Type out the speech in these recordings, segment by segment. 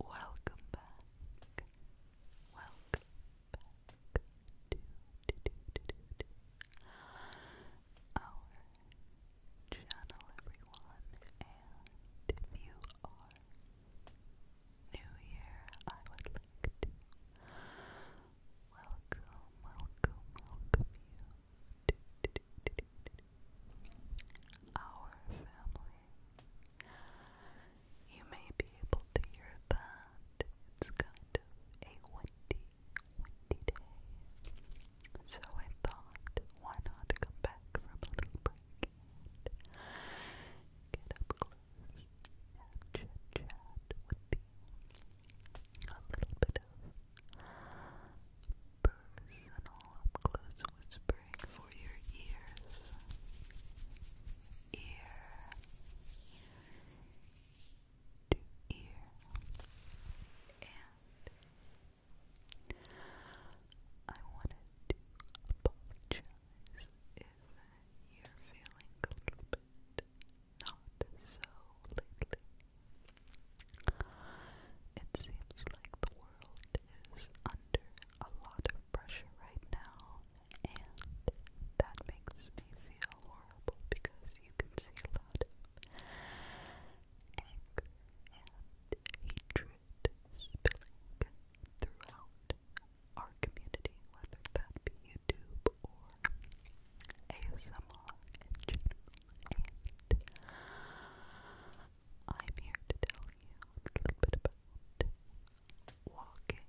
Welcome back. Welcome back to, our channel, everyone, and if you are new here, I would like to welcome, welcome, welcome you to, our family. You may be able to hear that. It's kind of a windy windy day. So I thought, why not come back from a little break and get up close and chit chat with you. A little bit of personal up close whispering for your ears. Ear to ear and I wanted to apologize if you're feeling a little bit not so lately. It seems like the world is under a lot of pressure right now, and that makes me feel horrible because you can see a lot anger and hatred spilling throughout our community, whether that be YouTube or ASMR I'm here to tell you a little bit about walking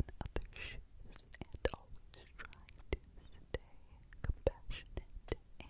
in other shoes and always trying to stay compassionate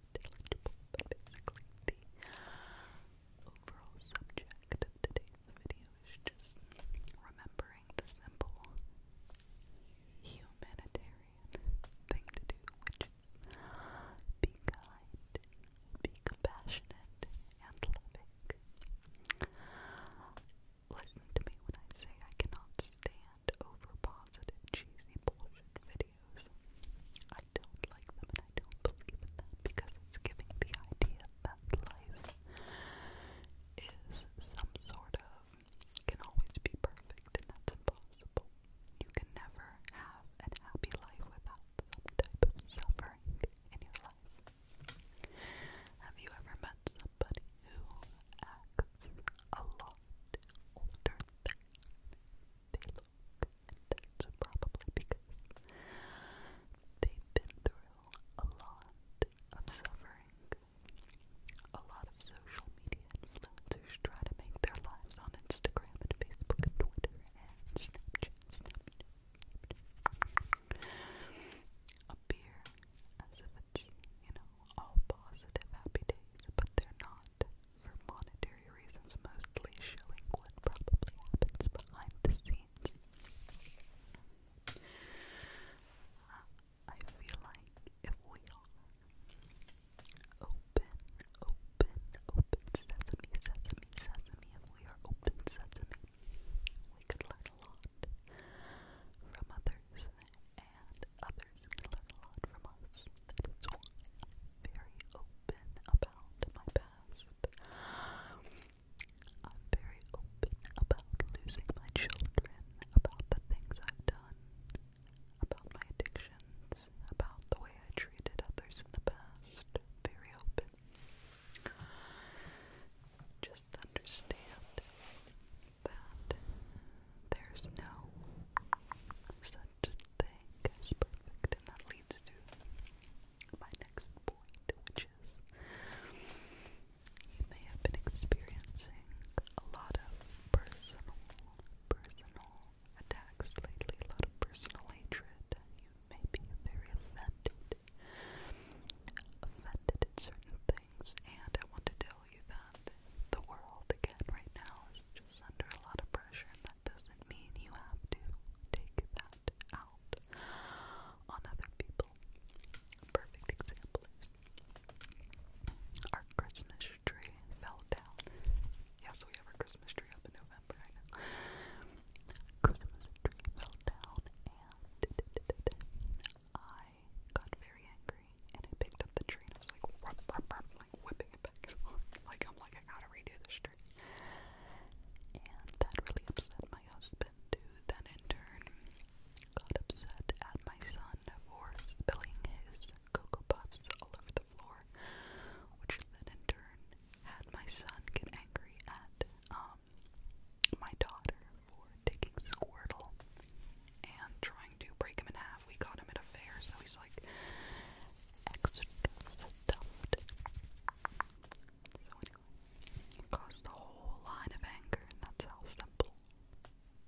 unintelligible, but subject of today's video is just remembering the simple humanitarian thing to do, which be kind, be compassionate, and loving. Listen to me when I say I cannot stand and cheesy bullshit videos. I don't like them and I don't believe in them because it's giving the idea that life is some sort of can always be perfect and that's impossible. You can never have a happy life without some type of suffering in your life. Have you ever met somebody who acts a lot older than they look, and that's probably because they've been through a lot of suffering. A lot of social media influencers try to make their lives on Instagram and Facebook and Twitter and Snapchat, Snapchat appear as if it's, you know, all positive happy days, but they're not for monetary reasons, mostly showing what probably happens behind the scenes. I feel like if we are open, open, open sesame, sesame, sesame, if we are open sesame, we could learn a lot from other and others learn a lot from us. That is I'm very open about my past. I'm very open about losing my children, about the things I've done, about my addictions, about the way I treated others in the past. Very open. Just understand that there's no such thing as perfect, and that leads to my next point, which is you may have been experiencing a lot of personal, personal attacks lately, a lot of personal hatred. You may be very offended, offended at certain things, and I wanted to tell you that the world again right now is just under a lot of pressure, and that doesn't mean you have to take that out on other people. perfect example is our Christmas tree fell down. Yeah, so we have our Christmas tree up in November Christmas tree fell down, and I got very angry and I picked up the tree I was like, whipping it back Like I'm like, I gotta redo the tree. And that really upset my husband who then in turn got upset at my son for spilling his Cocoa Puffs all over the floor, which then in turn had my son get angry at um my daughter taking Squirtle and trying to break him in half. We caught him in a fair, so he's like extra So anyway, caused a whole line of anger, and that's how simple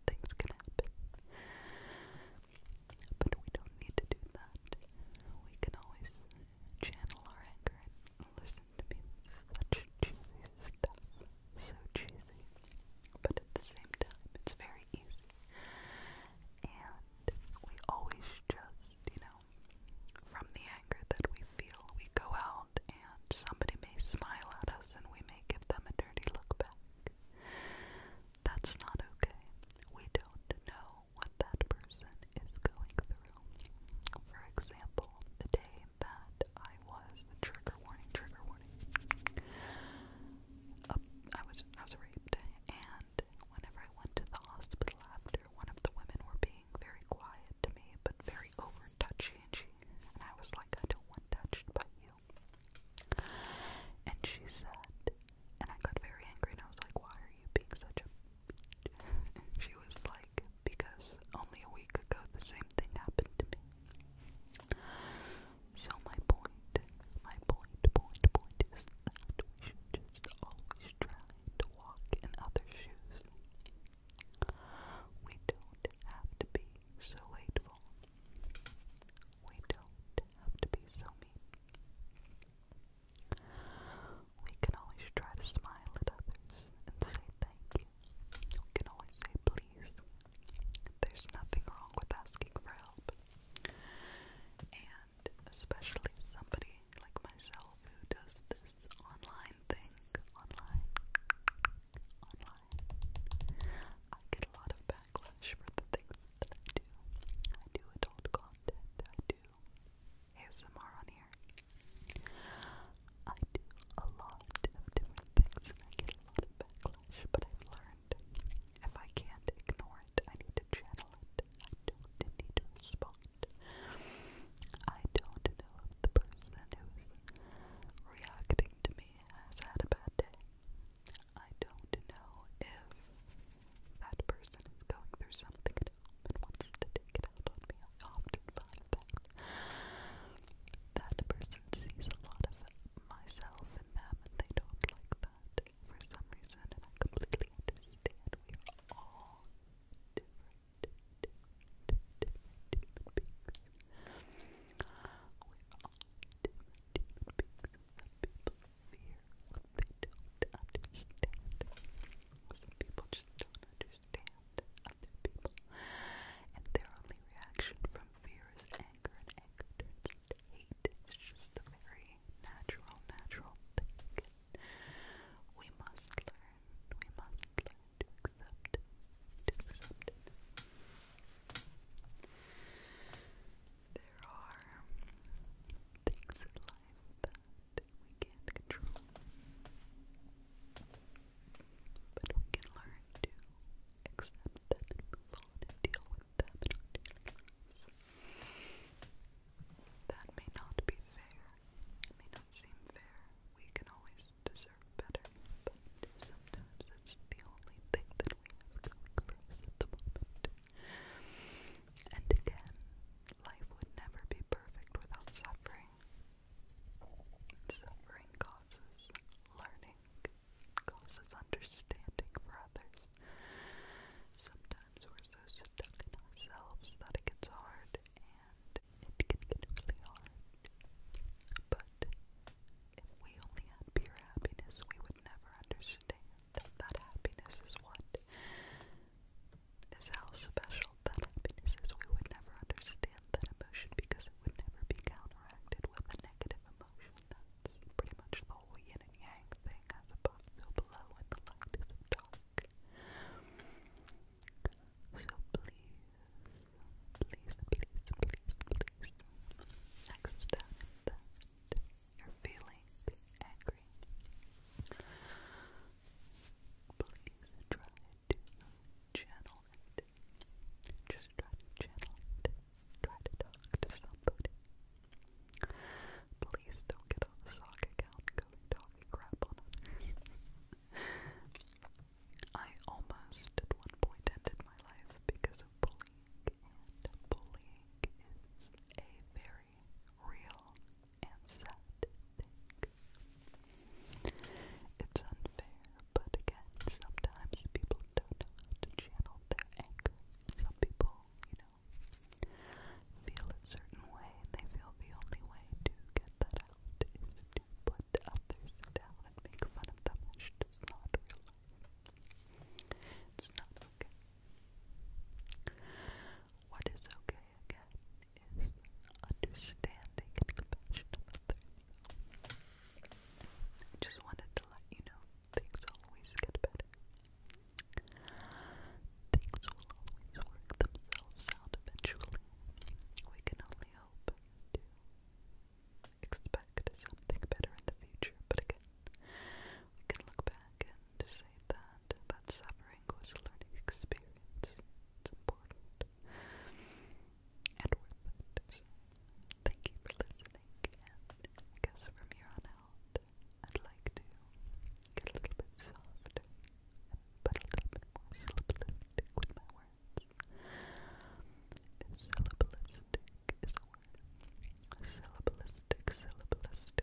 things can happen. But we don't need to do that. We can always channel our anger and listen to me. Such cheesy stuff so cheesy, but at the same time, it's very easy. And we always just, you know, from the anger that we feel, we go out and somebody may smile at us and we may give them a dirty look back. That's not okay. We don't know what that person is going through. For example, the day that I was Trigger warning, trigger warning. I was I was raped and whenever I went to the hospital after one of the women were being very quiet to me but very over touchy and she and I was like I don't want touched by you. And she said and I got very angry and I was like, Why are you being such a bitch? she was like because only a week ago the same thing happened to me. So my point, my point, point, point is that we should just always try to walk in other shoes. We don't have to be so hateful. We don't have to be so mean. We can always try to smile at others and say thank you. You can always say please. There's nothing wrong with asking for help. And especially somebody like myself who does this online thing. Online. Online. I get a lot of backlash for the things that I do. I do adult content. I do ASMR on here. I do a lot of different things and I get a lot of backlash, but I've learned if I can't ignore it, I need to channel it. I don't need to respond. I don't know if the person who's reacting to me has had a bad day. I don't know if that person is going through something at home and wants to take it out on me. I often find that that person sees a lot of myself in them and they don't like that for some reason, and I completely understand. We are all different, We're all different human Some people fear what they don't understand. Some people just don't understand other people. And their only reaction from fear is anger, and anger turns into hate. It's just a very natural, natural thing. We must learn, we must learn to accept, to accept it. There are things in life that we can't control. But we can learn to accept them move on and deal with them That may not be fair. may not seem fair. We can always deserve better, but sometimes it's the only thing that we have going for us at the moment. And again, life would never be perfect without suffering. Suffering learning, causes understanding for others. Sometimes we're so stuck in ourselves that it gets hard, and it can really hard. But if we only had pure happiness, we would never understand that that happiness is what is how special that happiness is. We would never understand that emotion because it would never be counteracted with a negative emotion. That's pretty much the whole yin and yang thing as above, so below, and the light is dark. So please, please, please, please, please. Next time you're feeling angry, please try just try to channel it. Try to talk to somebody. Please don't get on the sock account going talking crap on others. I almost at one point ended my life because of bullying, and bullying is a very real and sad thing. It's unfair, but again, sometimes people don't know how to channel their anger. Some people, you know, feel a certain way, and they feel the only way to get that out is to put others down and make fun of them, which does not realize. It's not okay. What is okay again is understanding and compassionate about others. I just wanted to let you know things always get better. Things will always work themselves out eventually. We can only hope to expect something better in the future, but again, we can look back and say that that suffering was a learning experience. It's important. And Thank you for listening, and I guess from here on out, I'd like to get a little bit softer, but a little bit more syllabalistic with my words. Syllabalistic is a word. Syllabalistic,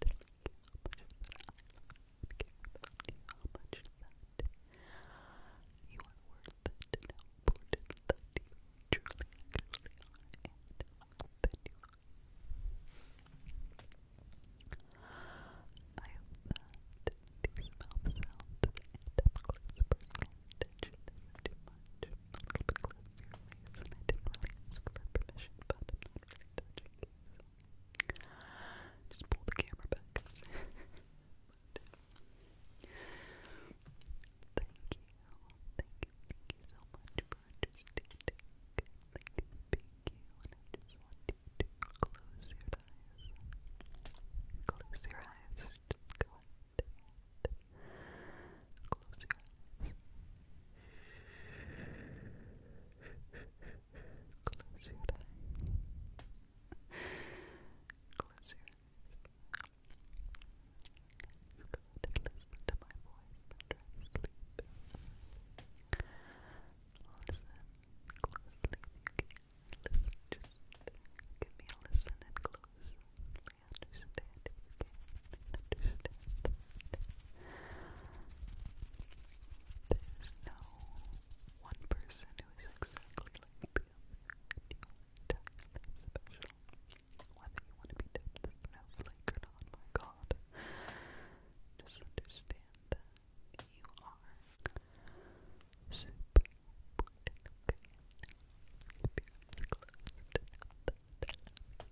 that you are worth it and how important that you truly, truly are and that you are. I hope that these mouth sounds and up close personal attention isn't too much. A little bit close to your face, and I didn't really ask for permission, but I'm not really touching you, so just pull the camera back. thank you, thank you, thank you so much for understanding. Thank you, thank you, and I just want to close your eyes. Close your eyes. Just go ahead. Close your eyes. Close your eyes. Close your eyes. Let's to my voice Listen closely Listen, just give me a listen and closely understand understand that. There's no one person who is exactly like the other, and you are entirely special. Whether you want to be dubbed a snowflake or not, my god. Just understand that you are super important, If you're as close you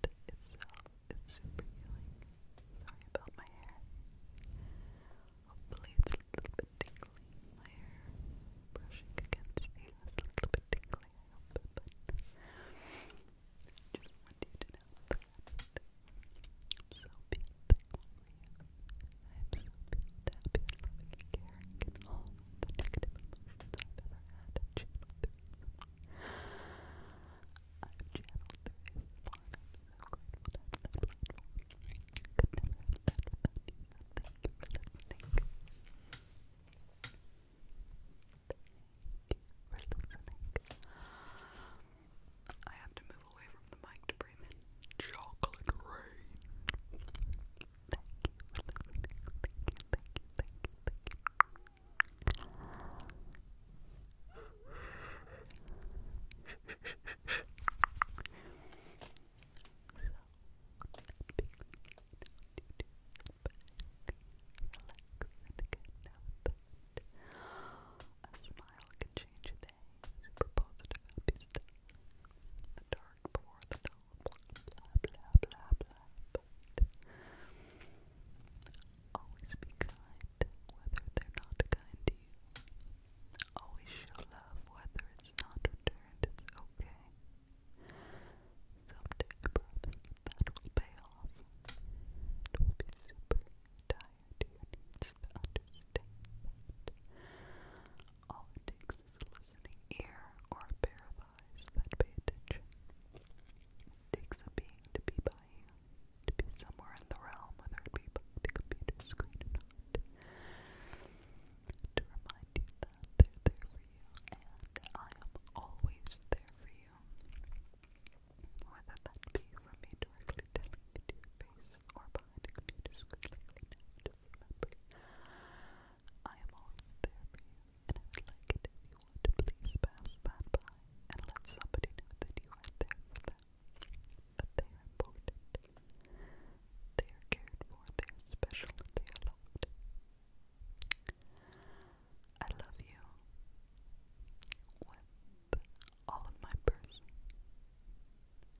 itself is super healing. Sorry about my hair. Hopefully it's a little bit tingly. My hair brushing against you a little bit tingly, just want you to know so big I'm so big happy and loving and caring all the negative emotions I've ever had I've channeled through his so grateful to have that platform. thank you for listening. Thank you for listening. I have to move away from the mic to breathe in chocolate rain. thank you. A smile can change a day. Super positive, happy The dark before the dawn but always be kind, whether they're not kind to you. Always show love, whether it's not returned, it's okay. Someday, I that will pay off. It will be super tired to understand that. All it takes is a listening ear or a pair of eyes that pay attention. It being to be by you, to be somewhere in the realm, whether it be by the computer To remind you that they're there for you, and I am always there for you. Whether that be from me directly telling you to your face or behind a computer screen like right now, I am always there for you, and I would like it if you would please pass that by and let somebody know that you are there for them, that they are important, they are cared for, they are special, they are loved. I love you with all of my person,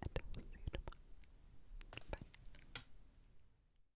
and I will see you tomorrow. Bye.